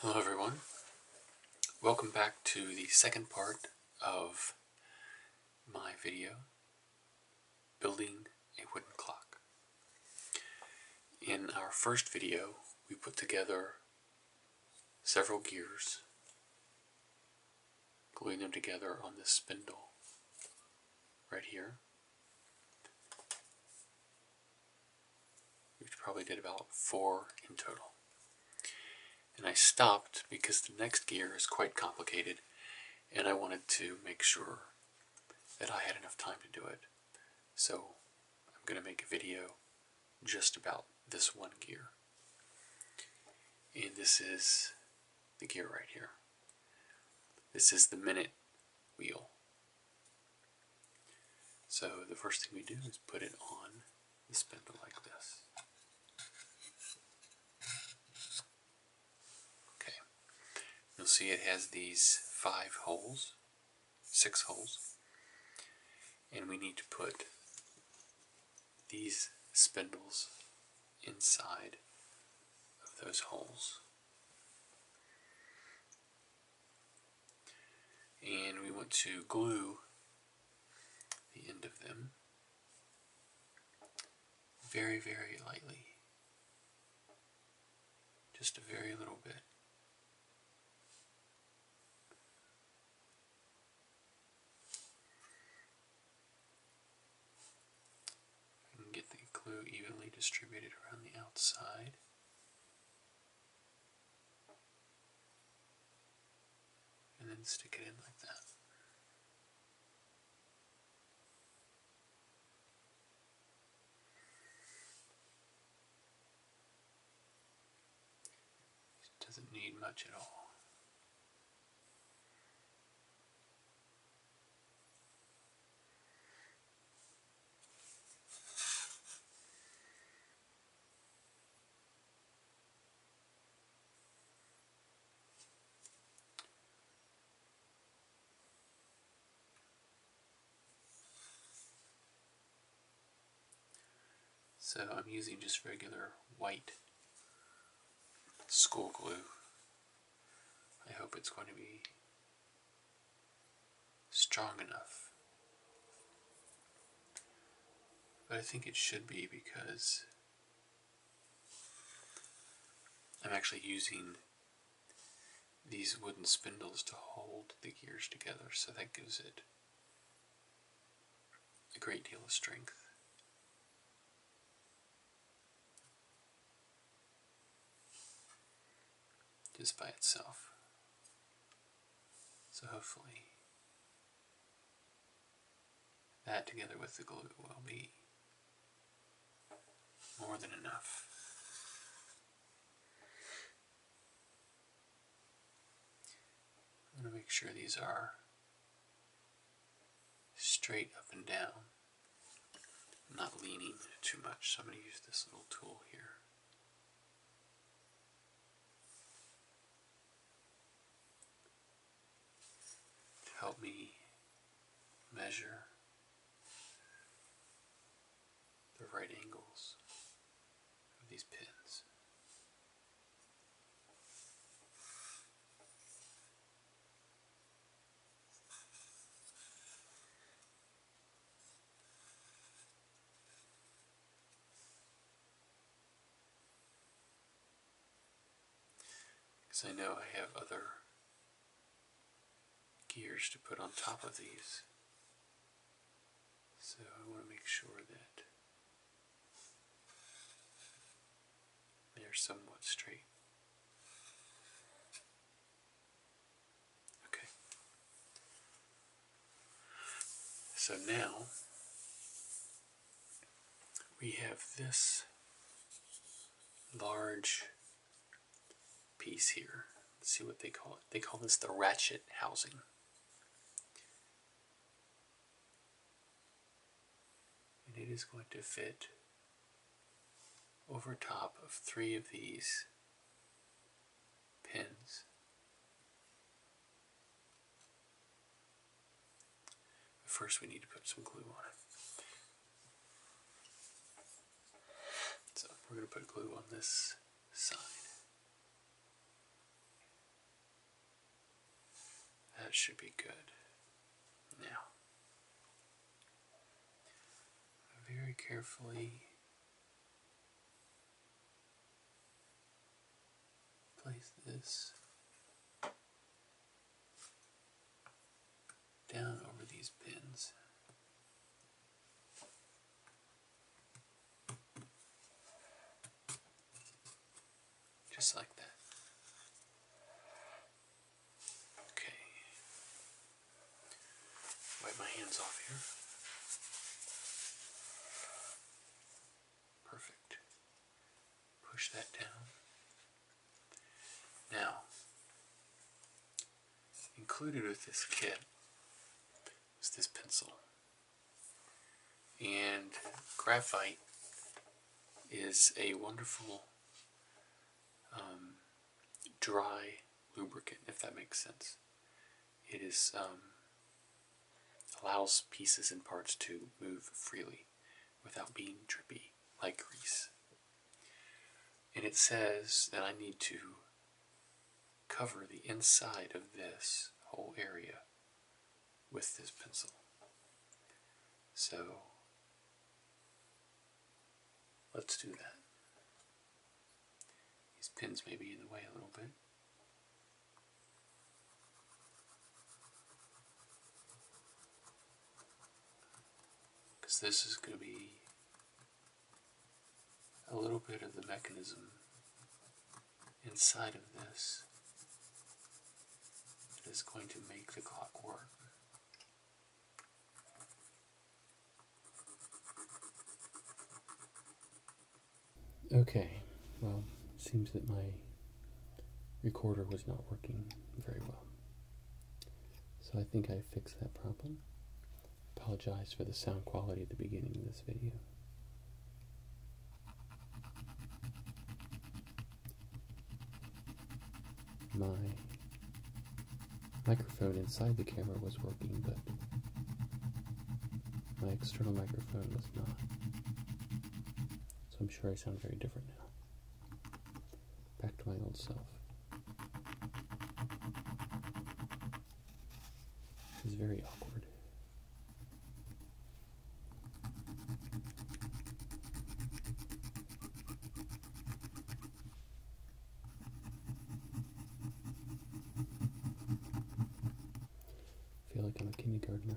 Hello everyone. Welcome back to the second part of my video, Building a Wooden Clock. In our first video, we put together several gears, gluing them together on this spindle right here. We probably did about four in total. And I stopped because the next gear is quite complicated and I wanted to make sure that I had enough time to do it. So I'm going to make a video just about this one gear. And this is the gear right here. This is the minute wheel. So the first thing we do is put it on the spindle like this. Okay, you'll see it has these five holes, six holes, and we need to put these spindles inside of those holes and we want to glue the end of them very, very lightly. Just a very little bit. And get the glue evenly distributed around the outside and then stick it in like that. doesn't need much at all. So I'm using just regular white school glue. I hope it's going to be strong enough. But I think it should be because I'm actually using these wooden spindles to hold the gears together, so that gives it a great deal of strength just by itself. So hopefully that together with the glue will be more than enough. I'm going to make sure these are straight up and down, not leaning too much. So I'm going to use this little tool here help me measure the right angles of these pins. Because I know I have other gears to put on top of these. So I want to make sure that they're somewhat straight. Okay. So now we have this large piece here. see what they call it. They call this the ratchet housing. And it is going to fit over top of three of these pins. But first we need to put some glue on it. So we're going to put glue on this side. That should be good. Now, very carefully place this down over these pins. Just like that. Okay. Wipe my hands off here. Perfect. Push that down. Now, included with this kit is this pencil. And graphite is a wonderful um, dry lubricant, if that makes sense. It is um, allows pieces and parts to move freely without being drippy like grease. And it says that I need to cover the inside of this whole area with this pencil. So let's do that. These pins may be in the way a little bit. Because this is going to be a little bit of the mechanism inside of this that is going to make the clock work. Okay, well, it seems that my recorder was not working very well. So I think I fixed that problem. Apologize for the sound quality at the beginning of this video. My microphone inside the camera was working, but my external microphone was not. So I'm sure I sound very different now. Back to my old self. It's very awkward. I feel like I'm a kindergartner.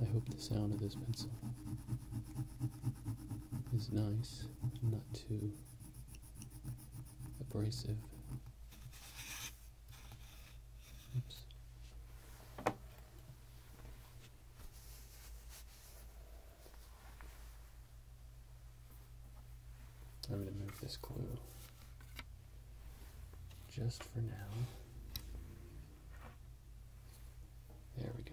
I hope the sound of this pencil is nice, not too abrasive. I'm going to move this glue just for now. There we go.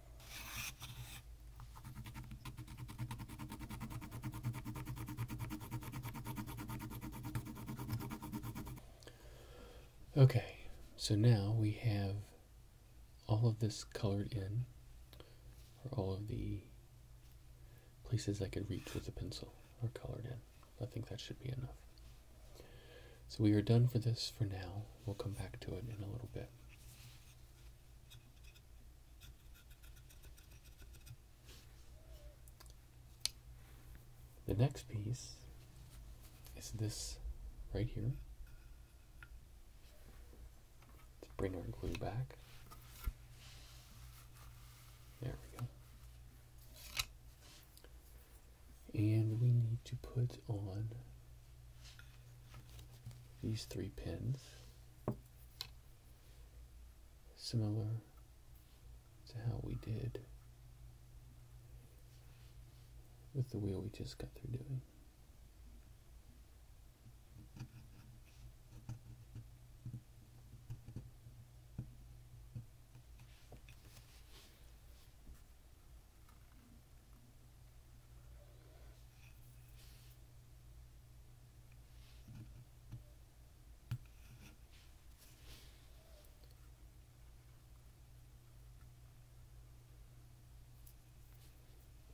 Okay, so now we have all of this colored in, or all of the places I could reach with a pencil are colored in. I think that should be enough. So we are done for this for now. We'll come back to it in a little bit. The next piece is this right here. Let's bring our glue back. There we go. And we need to put on these three pins similar to how we did with the wheel we just got through doing.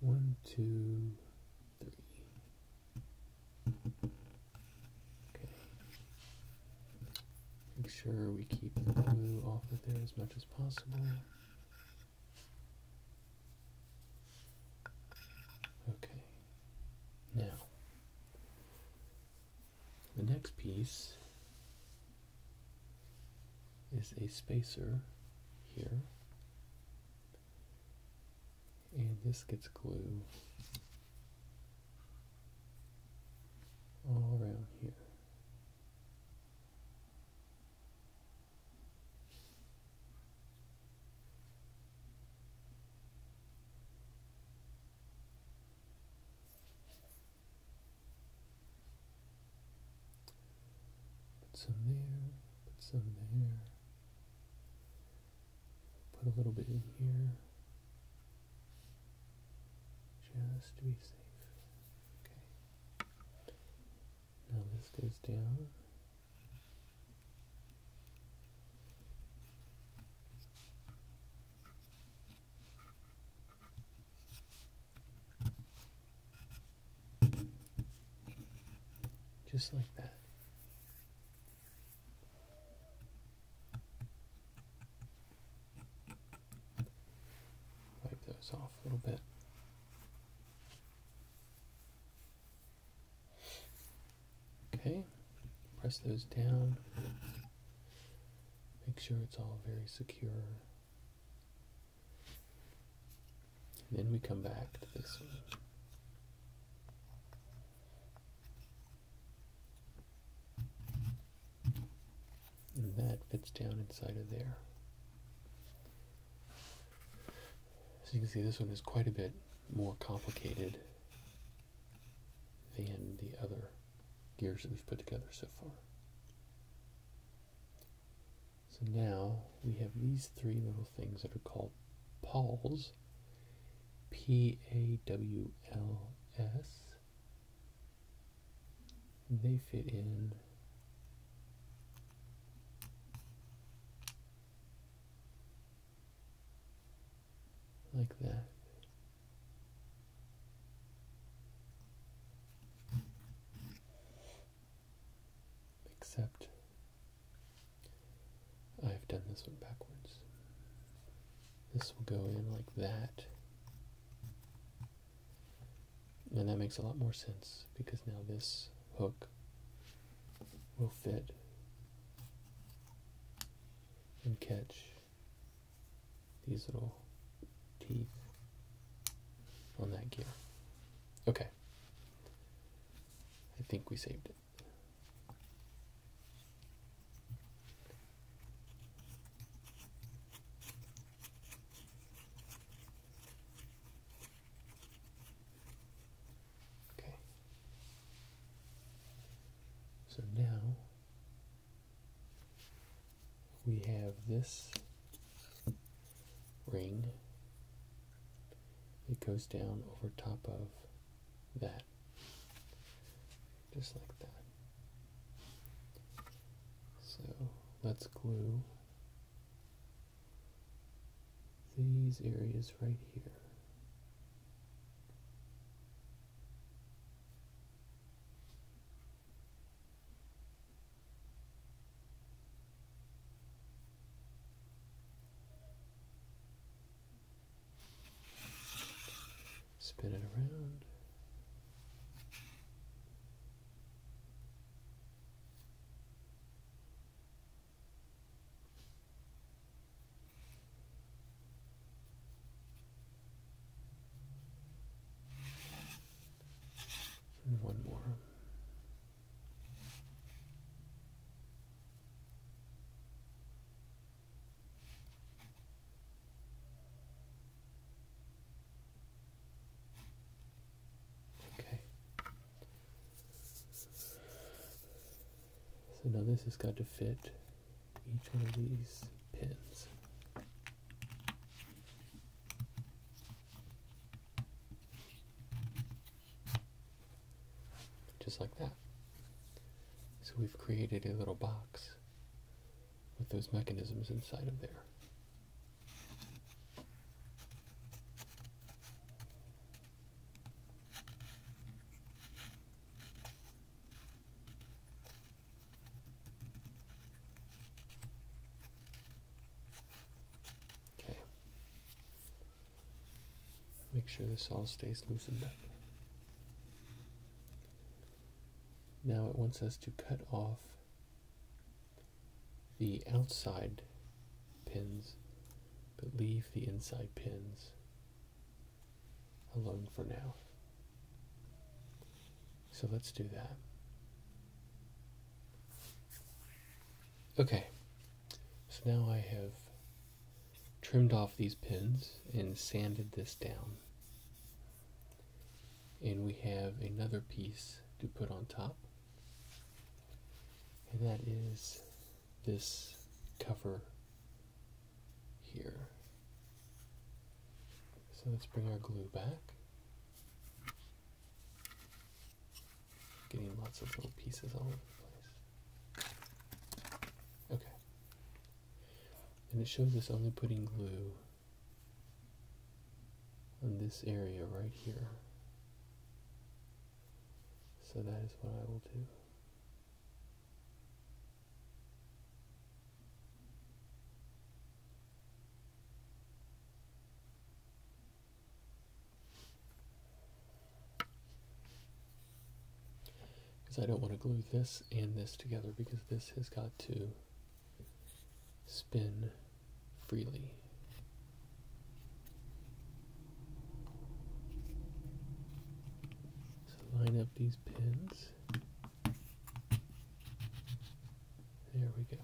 One, two, three. Okay. Make sure we keep the blue off of there as much as possible. Okay, now the next piece is a spacer here, and this gets glue all around here. Put some there, put some there, put a little bit in here just to be safe. Okay. Now this goes down. Just like that. Wipe those off a little bit. Okay, press those down. Make sure it's all very secure. then we come back to this one and that fits down inside of there. So you can see this one is quite a bit more complicated than the other gears that we've put together so far. So now we have these three little things that are called pawls. P-A-W-L-S they fit in like that. Except I've done this one backwards. This will go in like that. And that makes a lot more sense because now this hook will fit and catch these little teeth on that gear. Okay. I think we saved it. Okay. So now we have this ring it goes down over top of that just like that so let's glue these areas right here. Spin it around. And one more. Okay. So now this has got to fit each one of these pins. Just like that. So we've created a little box with those mechanisms inside of there. Okay. Make sure this all stays loosened up. Now it wants us to cut off the outside pins, but leave the inside pins alone for now. So let's do that. Okay, so now I have trimmed off these pins and sanded this down and we have another piece to put on top and that is this cover here so let's bring our glue back getting lots of little pieces all over the place okay and it shows us only putting glue on this area right here. So that is what I will do. Because I don't want to glue this and this together because this has got to spin freely. So line up these pins. There we go.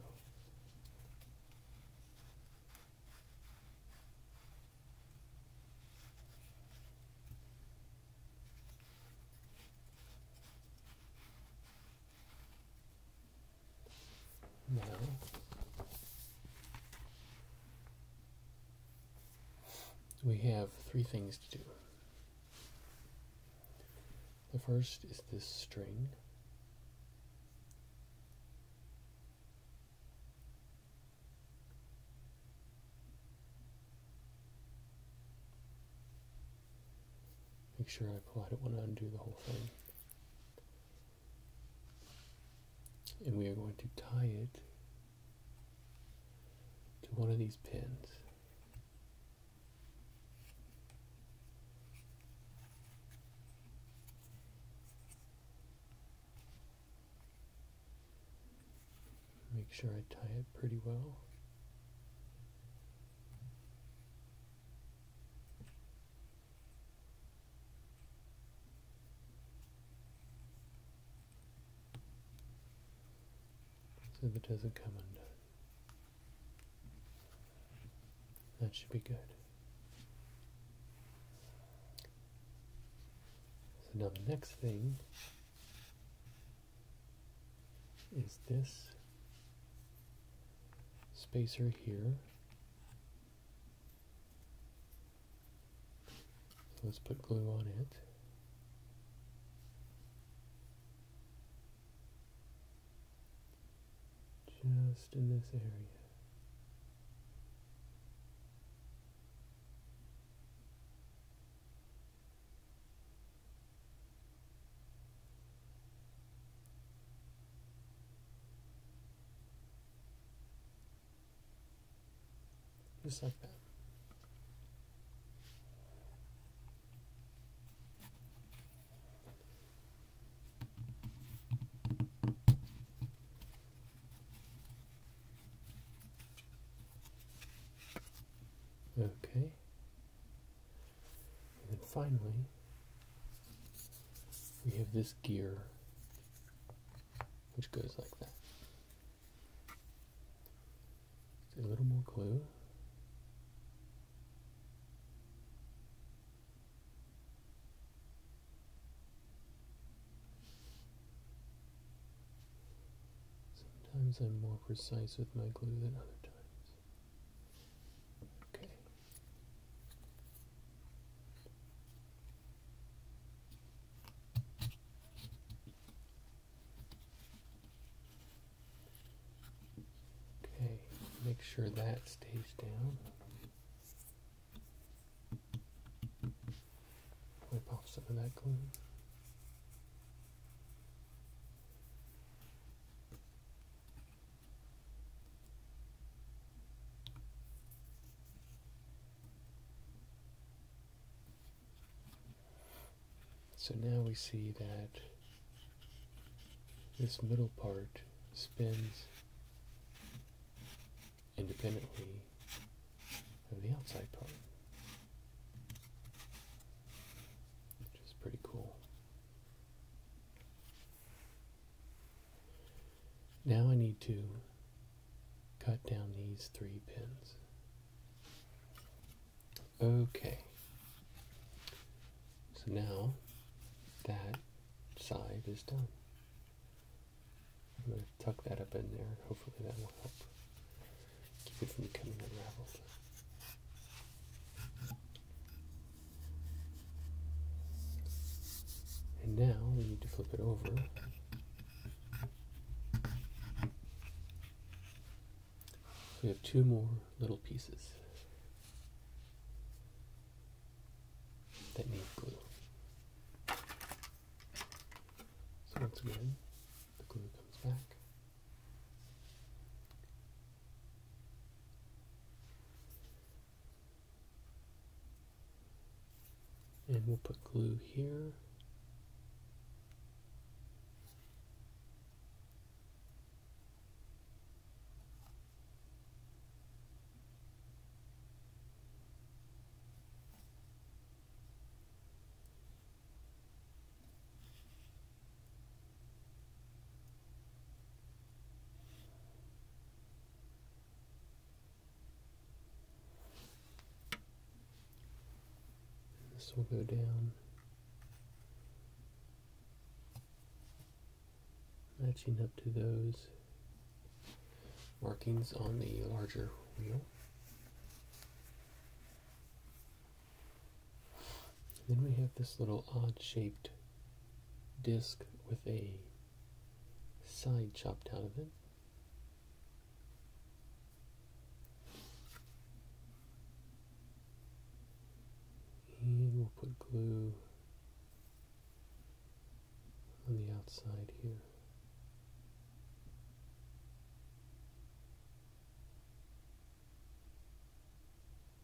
No. We have three things to do. The first is this string make sure I pull, I don't want to undo the whole thing. And we are going to tie it to one of these pins. Make sure I tie it pretty well. So if it doesn't come undone, that should be good. So now the next thing is this spacer here. let's put glue on it. Just in this area. Just like that. Okay. And then finally, we have this gear which goes like that. a little more glue. Sometimes I'm more precise with my glue than other times. Okay. Okay, make sure that stays down. Whip off some of that glue. So now we see that this middle part spins independently of the outside part, which is pretty cool. Now I need to cut down these three pins. Okay. So now that side is done. I'm going to tuck that up in there. Hopefully that will help keep it from coming unraveled. And now we need to flip it over. we have two more little pieces that need glue. So once again, the glue comes back and we'll put glue here this will go down. Matching up to those markings on the larger wheel then we have this little odd-shaped disc with a side chopped out of it. we'll put glue on the outside here.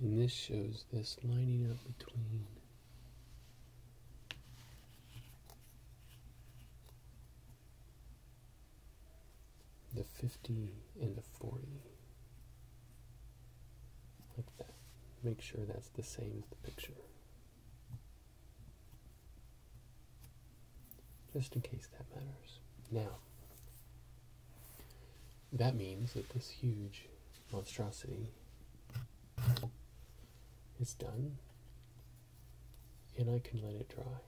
And this shows this lining up between the 50 and the 40. Like that. Make sure that's the same as the picture. Just in case that matters. Now, that means that this huge monstrosity is done and I can let it dry.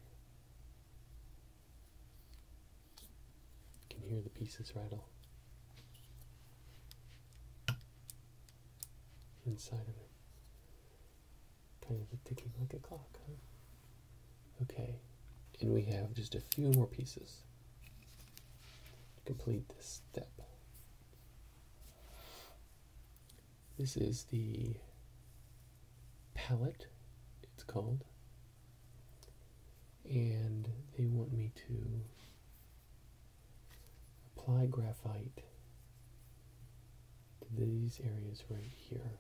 You can hear the pieces rattle inside of it. Kind of ticking like a clock, Okay, and we have just a few more pieces to complete this step. This is the palette, it's called. And they want me to apply graphite to these areas right here.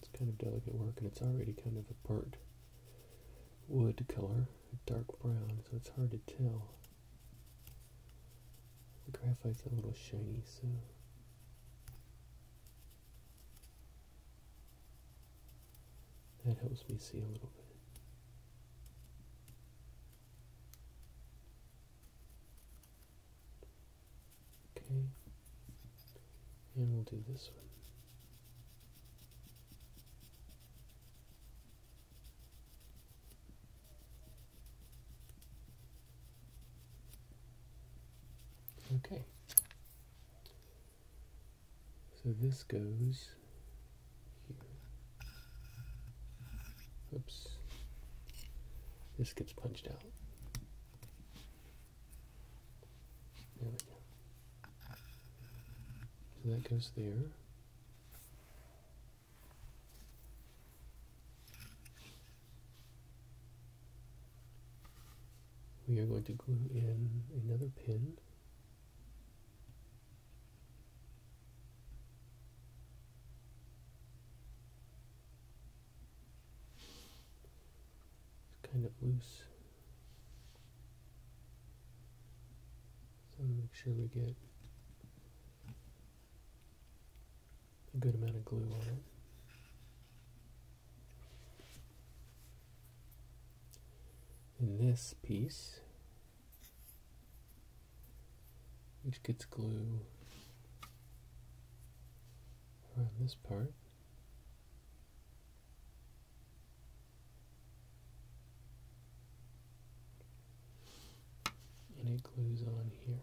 It's kind of delicate work and it's already kind of a burnt wood color, dark brown, so it's hard to tell. The graphite's a little shiny, so that helps me see a little bit. Okay, and we'll do this one. Okay, so this goes here. Oops. This gets punched out. There we go. So that goes there we are going to glue in another pin it's kind of loose so make sure we get a good amount of glue on it in this piece, which gets glue around this part. And it glues on here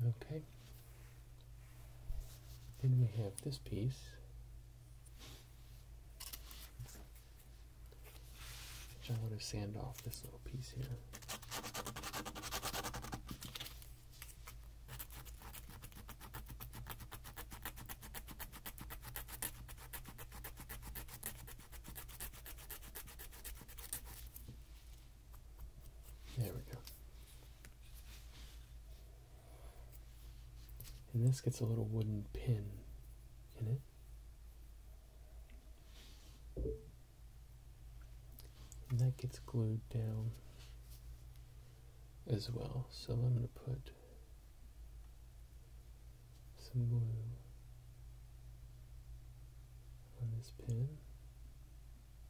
Okay. Then we have this piece. Which I want to sand off this little piece here. There we go. And this gets a little wooden pin in it. And that gets glued down as well. So I'm going to put some glue on this pin.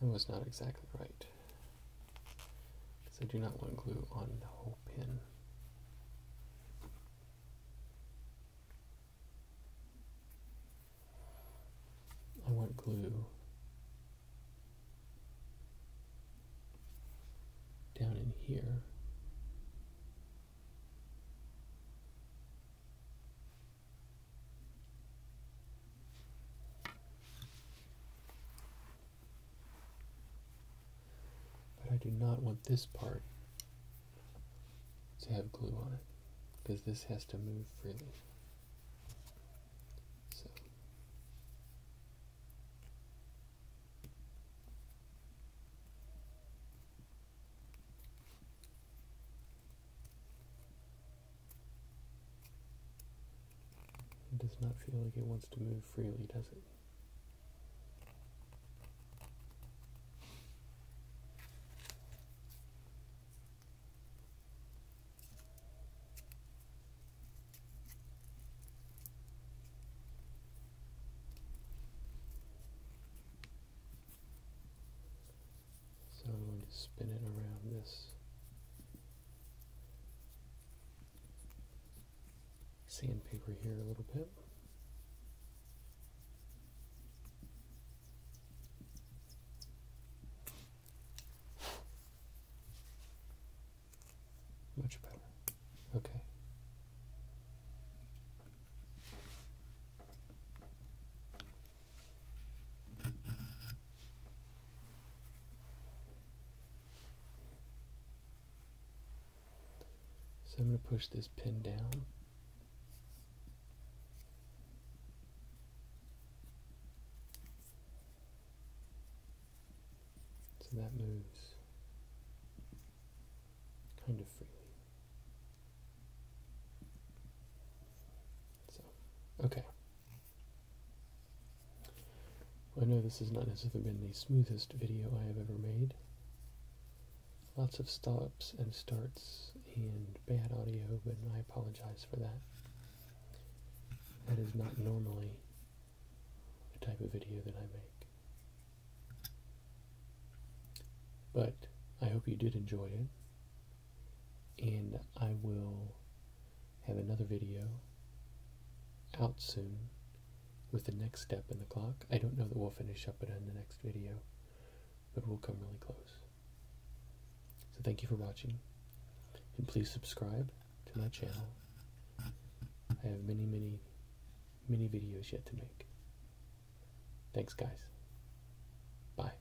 That was not exactly right. Because I do not want glue on the whole pin. I want glue down in here. But I do not want this part to have glue on it because this has to move freely. So. It does not feel like it wants to move freely, does it? So I'm going to spin it around this sandpaper here a little bit. Much better. Okay. So I'm going to push this pin down. So that moves kind of freely. So, okay. I know this has not necessarily been the smoothest video I have ever made. Lots of stops and starts and bad audio, but I apologize for that. That is not normally the type of video that I make. But I hope you did enjoy it and I will have another video out soon with the next step in the clock. I don't know that we'll finish up it in the next video, but we'll come really close. So thank you for watching, and please subscribe to my channel. I have many, many, many videos yet to make. Thanks, guys. Bye.